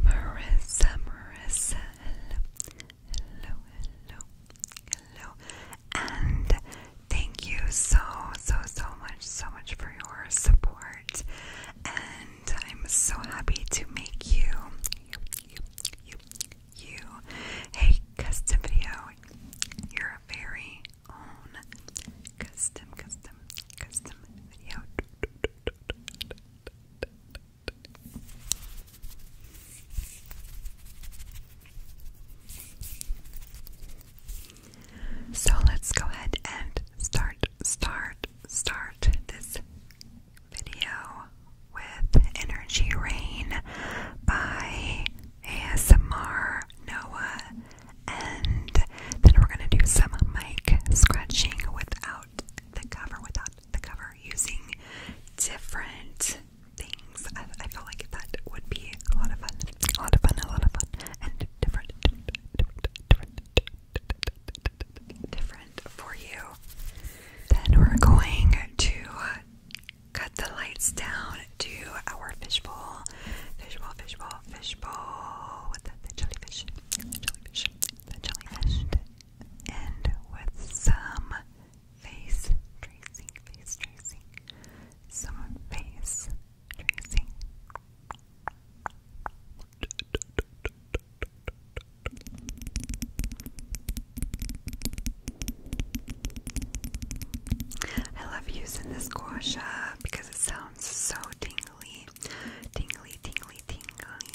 Marissa, Marissa, hello, hello, hello, hello, and thank you so, so, so much, so much for your support. And I'm so happy to make you, you, you, you, you custom video, your very own custom, custom, custom video. So let's go ahead and start, start, start this video with Energy Rain by ASMR Noah. And then we're going to do some mic scratching without the cover, without the cover, using different things. I, feel like that would be a lot of fun, a lot of fun, a lot of fun, and different, different, different, different, different for you. Then we're going to cut the lights down to our fishbowl, fishbowl, fishbowl, fishbowl with the jellyfish, jellyfish, and with some face tracing, face tracing, some face tracing. I love using this gouache because it sounds so dingly, tingly, tingly, tingly.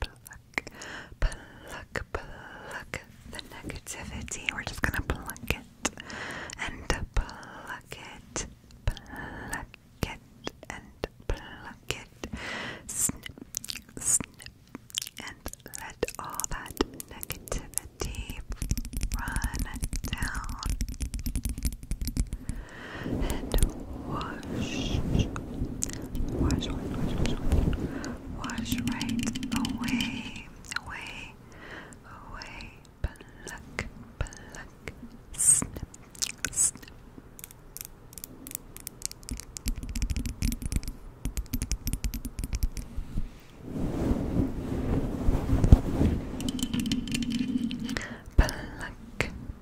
pluck, pluck, pluck the negativity. We're just gonna pluck it and pluck it, pluck it and pluck it. Snip, snip, and let all that negativity run down and wash, wash, wash, wash, wash, wash wash right away, away, away. Pluck, pluck, snip, snip. Pluck,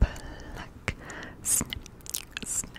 pluck, snip, snip,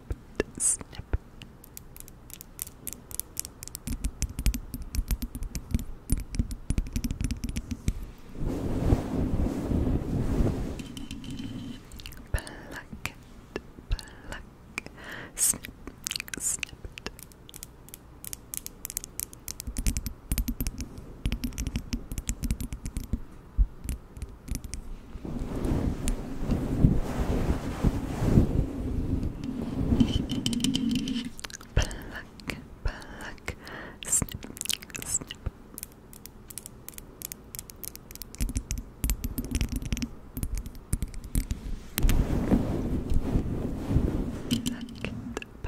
snip, snip. Pluck it, pluck, snip, snip it. Pluck, Pluck, pluck, snip, snip. Pluck it, pluck it,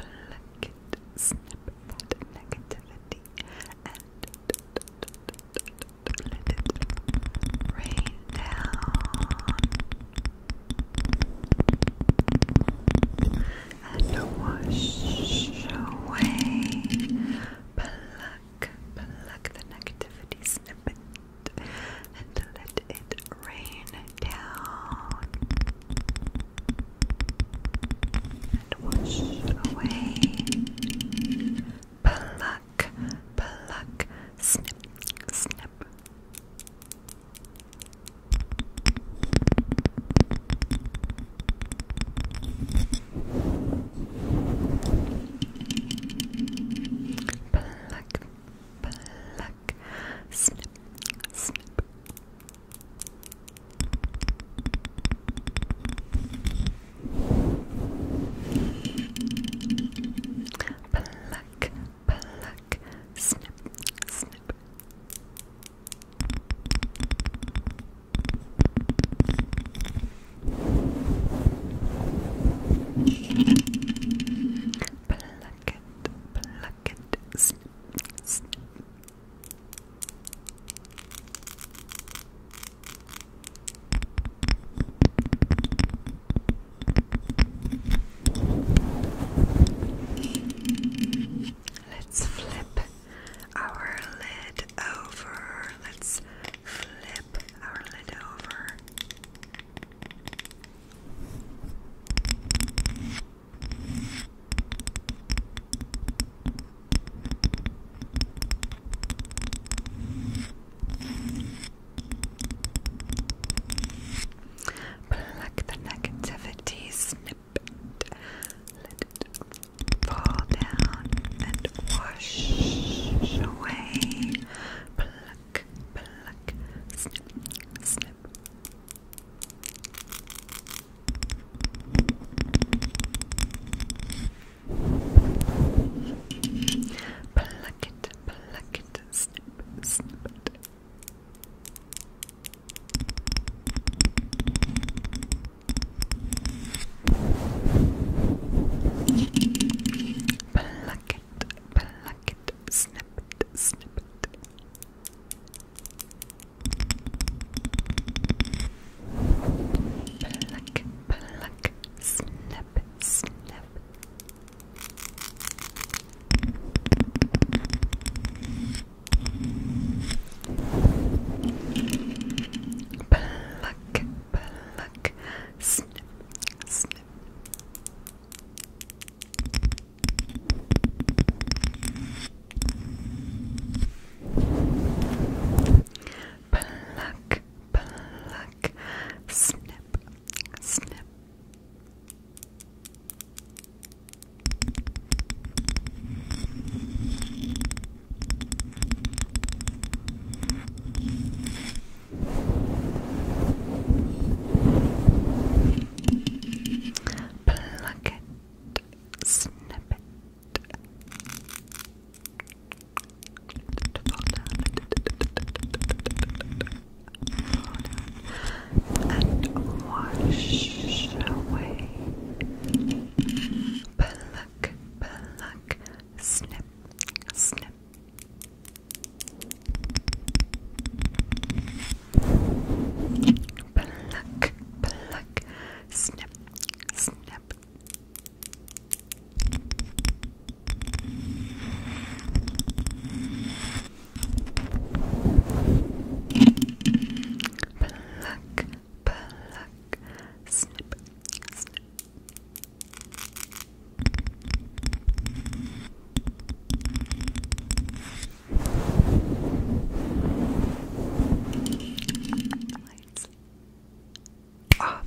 snip that negativity let it rain down and wash away. Pluck, pluck the negativity snippet and let it rain down and wash away pluck, pluck, snip, snip. Pluck, pluck, snip, snip. Pluck, pluck, snip, snip. Pluck it, pluck it, snip, snip. Let's flip our lid over. Let's flip our lid over. Pluck the negativity, snip it, let it fall down and wash away. Pluck, pluck, snip, snip. Pluck it, pluck it, snip, snip it. Pluck it, pluck it, snip it, snip it. Pluck, pluck, snap, snap. Pluck, pluck, snip, snip pluck, pluck, snip, snip. Pluck it, snip it, to fall and wash away. Pluck, pluck, snip, snip. Pluck, pluck, snip, snip. Pluck, pluck, snip, snip. Lights off.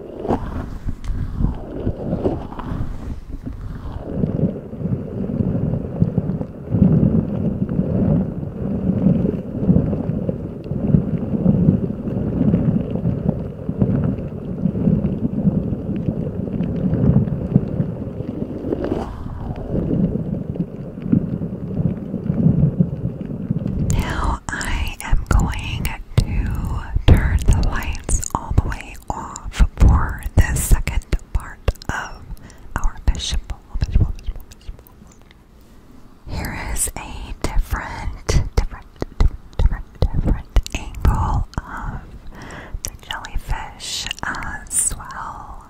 Now I am going to turn the lights all the way off for the second part of our fish Here is a different, different angle of the jellyfish as well.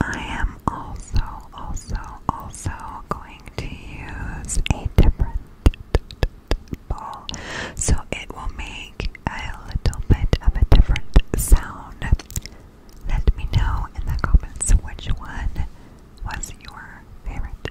I am also, also, also going to use a different ball so it will make a little bit of a different sound. Let me know in the comments which one was your favorite.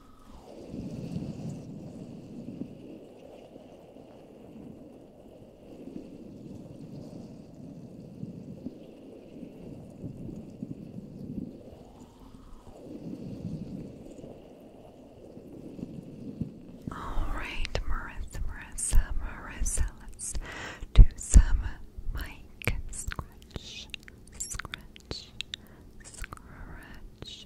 All right, Marissa, Marissa, Marissa, let's do some mic scratch, scratch, scratch,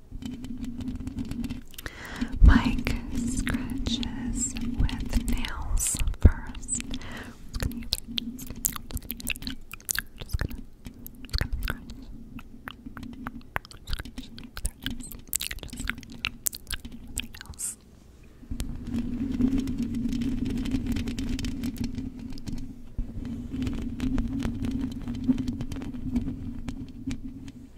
Mike scratches with nails first. Just gonna Just gonna, scratch. With nails.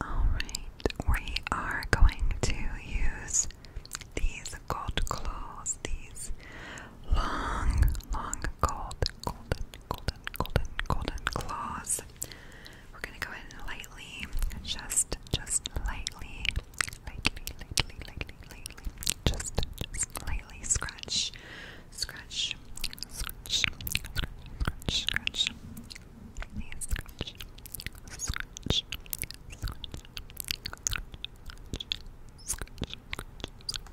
Alright, we are going to use these gold claws, these long, long gold, golden, golden, golden, golden, claws. We're gonna go in lightly, just, just lightly, lightly, lightly, lightly, just, lightly scratch, scratch, scratch, scratch, scratch, scratch, scratch, scratch, scratch,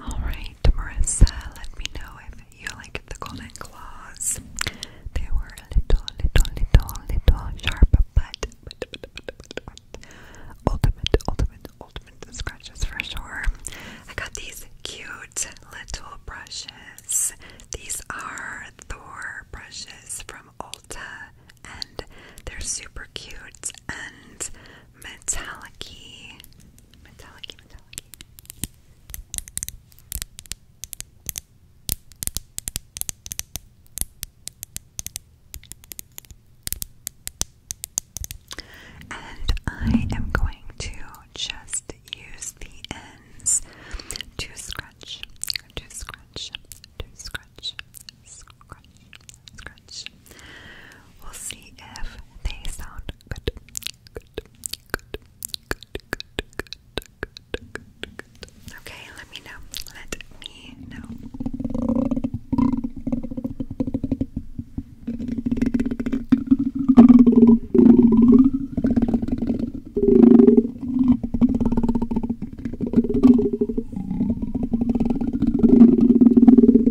Alright, Marissa, let me know if you like the golden claws. They were a little, little, little, little sharp, but, ultimate, ultimate, ultimate scratches for sure. I got these cute little brushes. These are Thor brushes from Ulta, and they're super cute and metallic and I am going to just use the ends to scratch, to scratch, to scratch, scratch, We'll see if they sound good. Good. Good. Good. Good. Good. Good. Good. Okay, let me know. Let me know.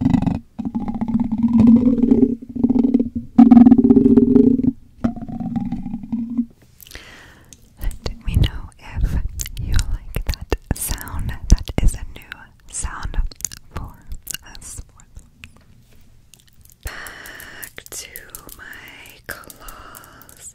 Let me know if you like that sound. That is a new sound for us. Back to my claws.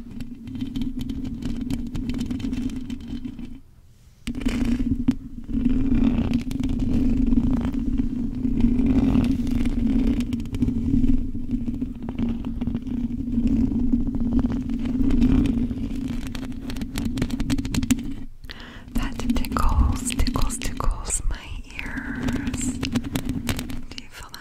That tickles, tickles, tickles my ears. Do you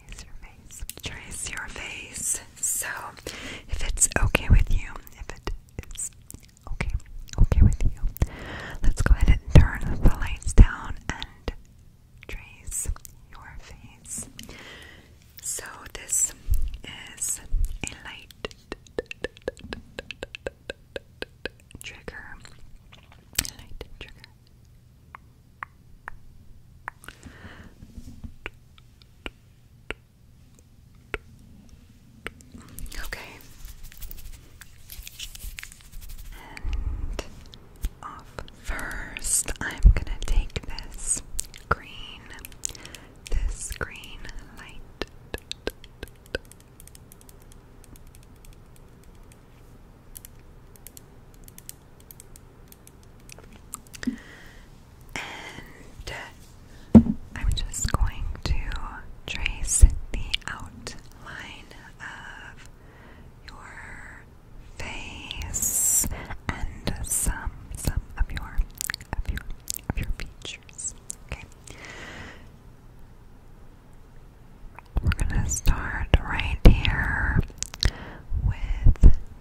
Trace your face. Trace your face. So, if it's okay with you, if it is okay, okay with you, let's go ahead and turn the lights down and trace your face. So, this is a light trigger. Light trigger. Okay. And off first, I'm going to take this green, this green light. And uh, I'm just going to trace the outline of your face and some some of your of your of your features. Okay. We're gonna start right here with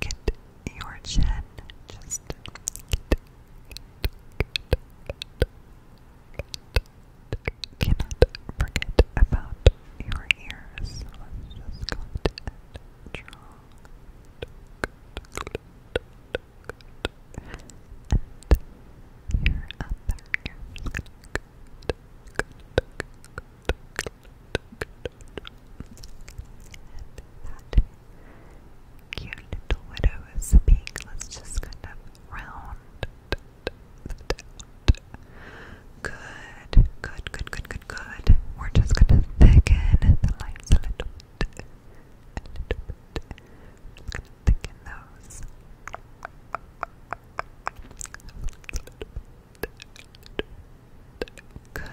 get your chin. Just cannot forget about your ears. just your other ear cute little widow is pink. Let's just kind of round Good, good, good, good, good, good. We're just gonna thicken the lines a little We're gonna thicken those. Good.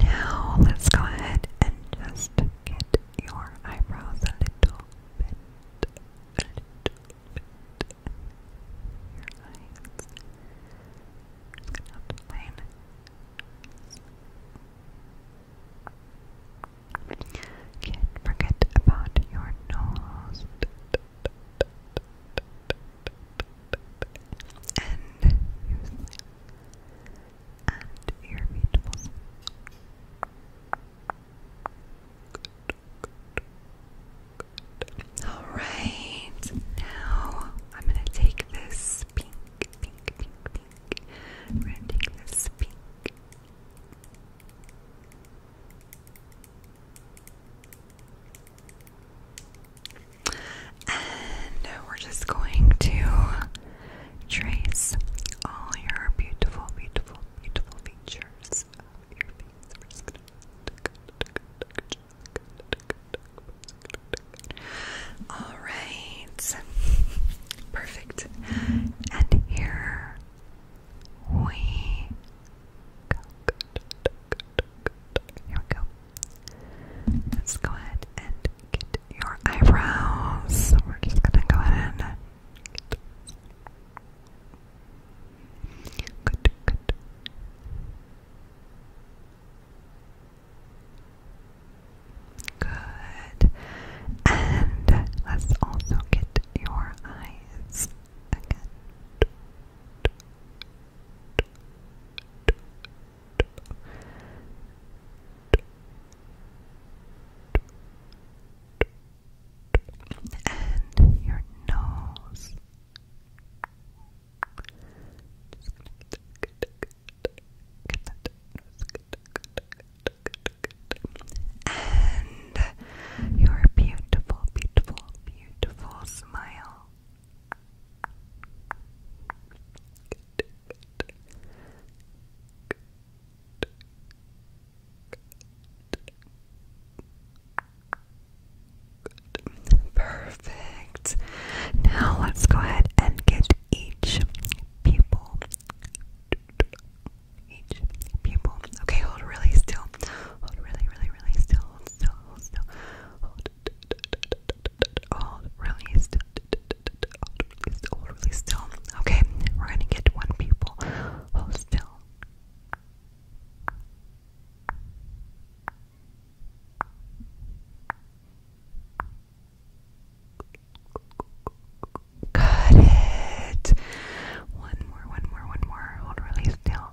Now let's go ahead and just get your eyebrows a little bit, Your eyes. Just not forget about your nose and you and your feet will All right, now I'm gonna take this pink, pink, pink, pink. I'm gonna take this pink. And we're just going to trace all your beautiful, beautiful, beautiful features right, perfect. And here we go. Here we go. Let's go ahead and get your eyebrows. we're just gonna go ahead and get good, good. Good. And let's also get your eyes again and your nose. And your beautiful, beautiful, beautiful smile. Perfect. Now let's go ahead and get each pupil. Each pupil. Okay, hold really still. Hold really, really, really still. still, still. Hold, hold, release, hold, release, hold, release still. Okay, we're gonna get one people. Hold still. Got it. One more, one more, one more. Hold, release still.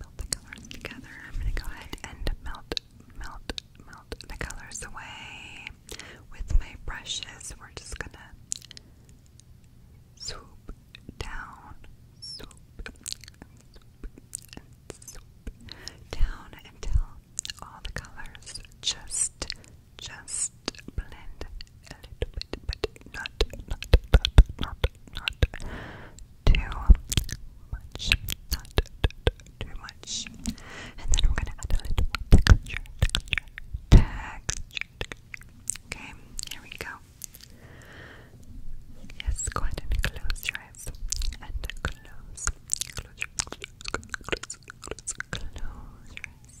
Melt the colors together. I'm gonna go ahead and melt, melt, melt the colors away with my brushes. We're just gonna swoop down, swoop, swoop, and swoop down until all the colors just, just blend a little bit, but not, not, not, not, not, too much. too much. And then we're gonna add a little texture, Okay, here we go. Yes, go ahead and close your eyes. And close. Close your eyes. Close, close, close your eyes.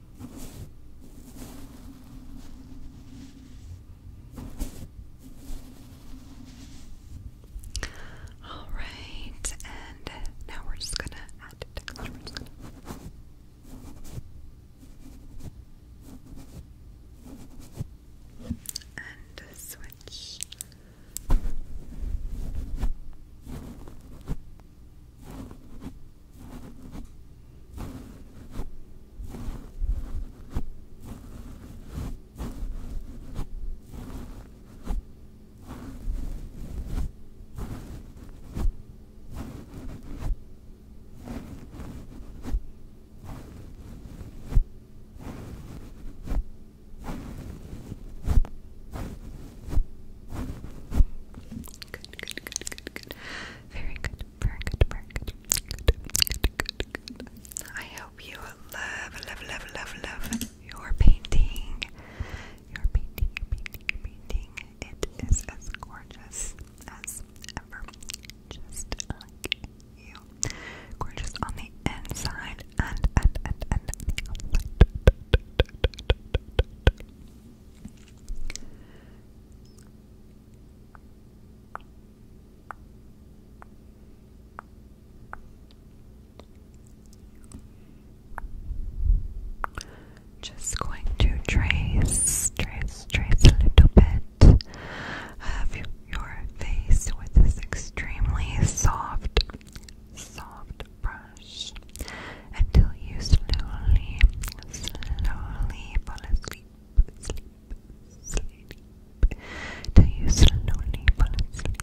All right, and now we're just gonna add texture. we and switch. Good, good, good, good, good. Very good. Very good, very good. Good, good, good, good. I hope you love, love, love, love, love your painting. Your painting, your painting, your painting. It is as gorgeous as ever. Just like you. Gorgeous on the inside and and and and the outside. Just going to trace, trace, trace a little bit of your face with this extremely soft, soft brush until you slowly, slowly fall asleep sleep, you you slowly fall asleep.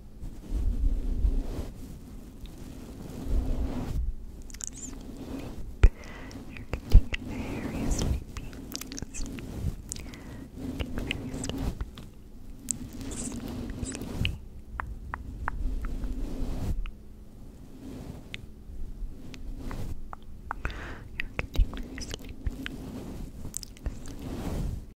Sleep. You're getting very sleepy. Sleep. You're getting very sleepy. Sleep, sleepy. You're getting very sleepy. Sleep.